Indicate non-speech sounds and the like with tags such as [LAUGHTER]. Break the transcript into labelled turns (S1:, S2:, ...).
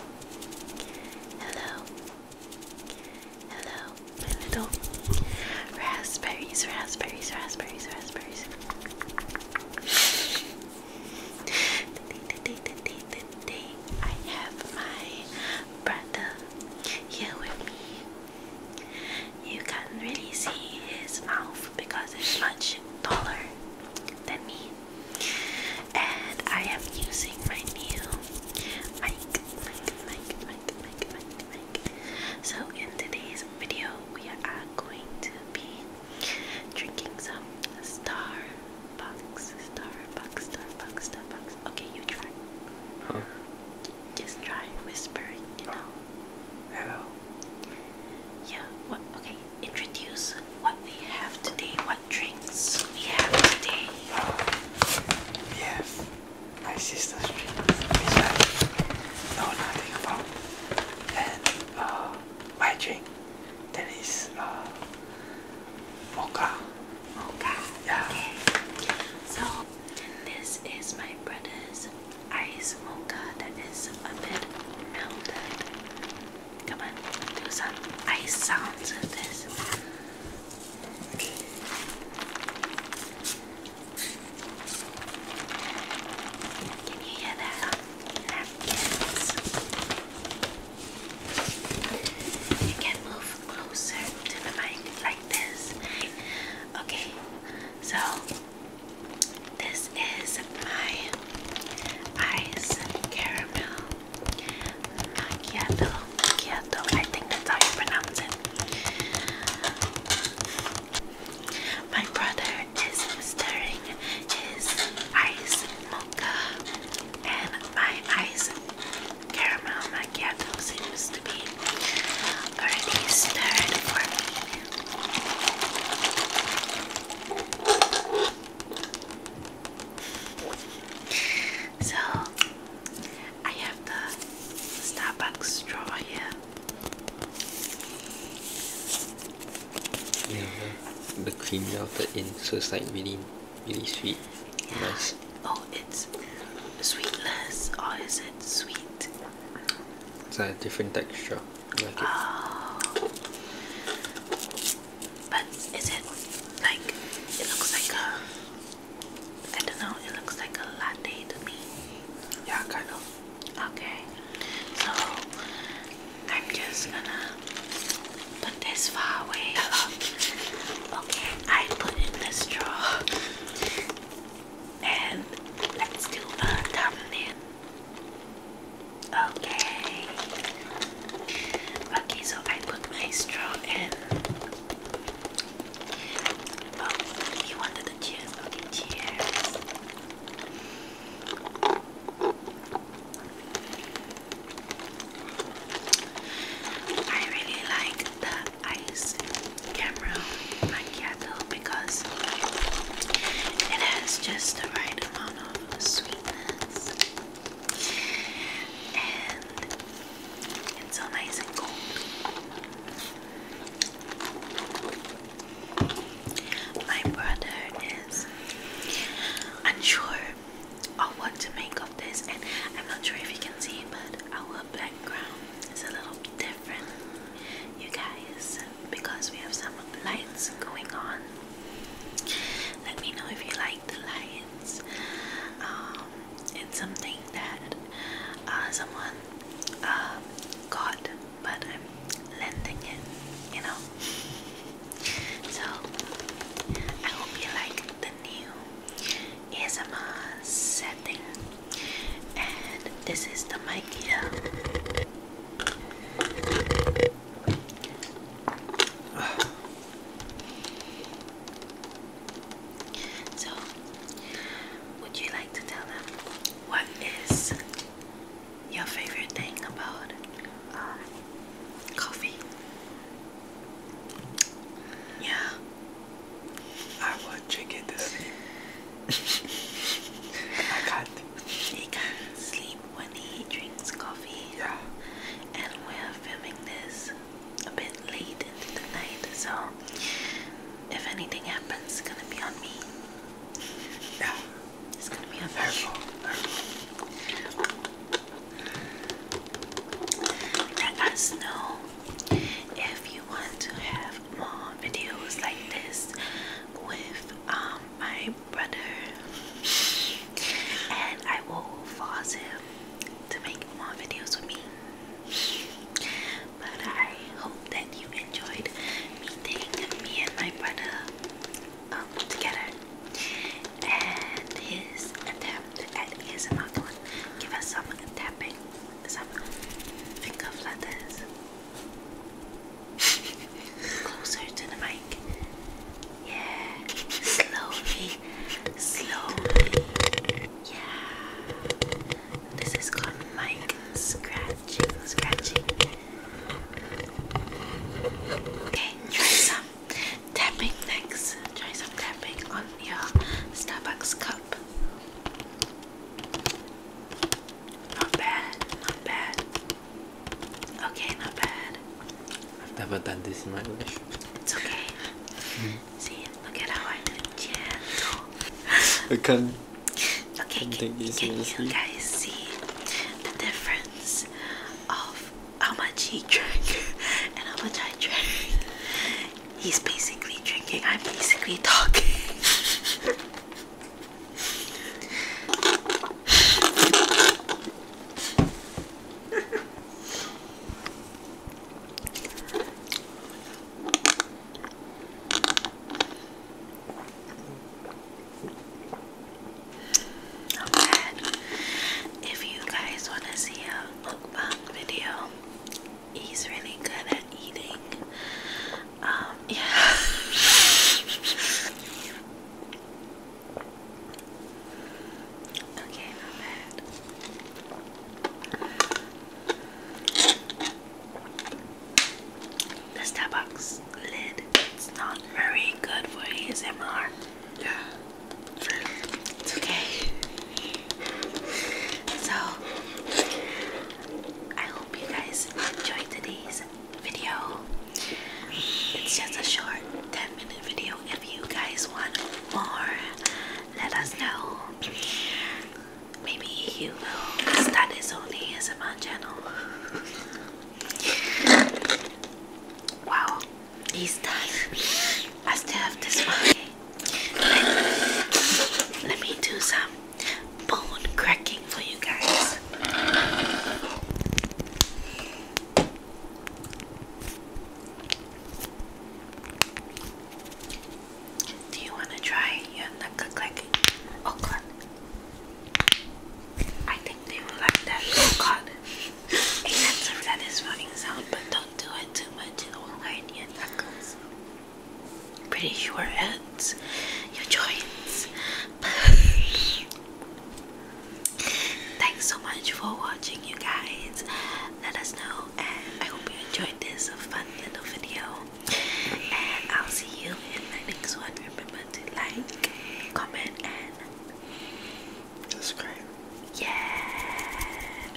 S1: Hello. Hello, my little raspberries, raspberries, raspberries, raspberries. Today, today, today, I have my brother here with me. You can't really see his mouth because it's much taller than me and I am using my new mic, mic, mic, mic, mic, mic, mic. So in today's video, we are going to be drinking some Starbucks, Starbucks, Starbucks, Starbucks. Okay, you try. Huh? Just try whispering, you know. Hello. Yeah. What? Okay introduce what we have today, what drinks we have today. We my sister's drink, is I know nothing about, and uh, my drink that is uh, mocha. Mocha. Yeah. Okay. So this is my brother's ice mocha that is a bit melted. Come on, do some ice sounds with this. Can you hear that? You can move closer to the mic like this. Okay, so this is my ice caramel macchiato. Macchiato, I think that's how you pronounce it. My brother is stirring his ice mocha, and my ice caramel macchiato seems to be already stirred for me. So I have the Starbucks drawer here. Yeah, the, the creamy in, so it's like really, really sweet. Yeah. Nice. Oh, it's sweetless, Oh, is it sweet? It's a different texture oh. But is it like it looks like a I don't know, it looks like a latte to me. Yeah, kind Okay. So I'm just gonna put this far away. [LAUGHS] okay, I put in this drawer. And let's do a thumbnail. Okay. Okay, so I put my straw in. Oh, I really like the ice camera macchiato because it has just the right amount of sweetness. And it's so nice and cold. My brother is unsure of what to make of this, and I'm not sure if you can see, but our background is a little different, you guys because we have some lights going on. Let me know if you like the lights. Um, it's something that uh, someone uh, got, but I'm lending it, you know. [LAUGHS] So I hope you like the new ASMR setting, and this is the mic here. So, would you like to tell them what is your favorite thing about uh, coffee? Yeah. I would drink it to I can't. He can't sleep when he drinks coffee. Yeah. And we're filming this a bit late into the night, so if anything happens, it's gonna be on me. Yeah. It's gonna be on her Let us know if you want to have more videos like this with um, my brother, and I will force him to make more videos with me. But I hope that you enjoyed meeting me and my brother um, together and his attempt at ASMR. Give us some tapping, some finger Closer to the mic. Yeah. Slowly. Slowly. Yeah. This is called mic scratching. Scratching. Okay, try some tapping next. Try some tapping on your Starbucks cup. Not bad, not bad. Okay, not bad. I've never done this in my life. It's okay. See, look at how I'm it. Yeah. Okay. Okay, can you guys see the difference of how much he drank [LAUGHS] and how much I drank? He's basically drinking, I'm basically talking. If you guys want to see a mukbang video, he's really good at eating. Um, yeah. [LAUGHS] okay, not bad. The Starbucks lid, it's not very good for ASMR. Yeah. It's okay. So I hope you guys enjoyed today's video. It's just a short 10 minute video. If you guys want more, let us know. Maybe you will start his own ASMR channel. wow, he's done. I still have this one let, me do some bone cracking for you guys. Do you want to try your knuckle clacking? Oh god. I think they will like that. Oh god. Except that is running sound, but don't do it too much. It will hurt your knuckles pretty sure it's your joints. [LAUGHS] Thanks so much for watching, you guys. Let us know, I hope you enjoyed this fun little video. And I'll see you in my next one. Remember to like, comment, and subscribe. Yeah.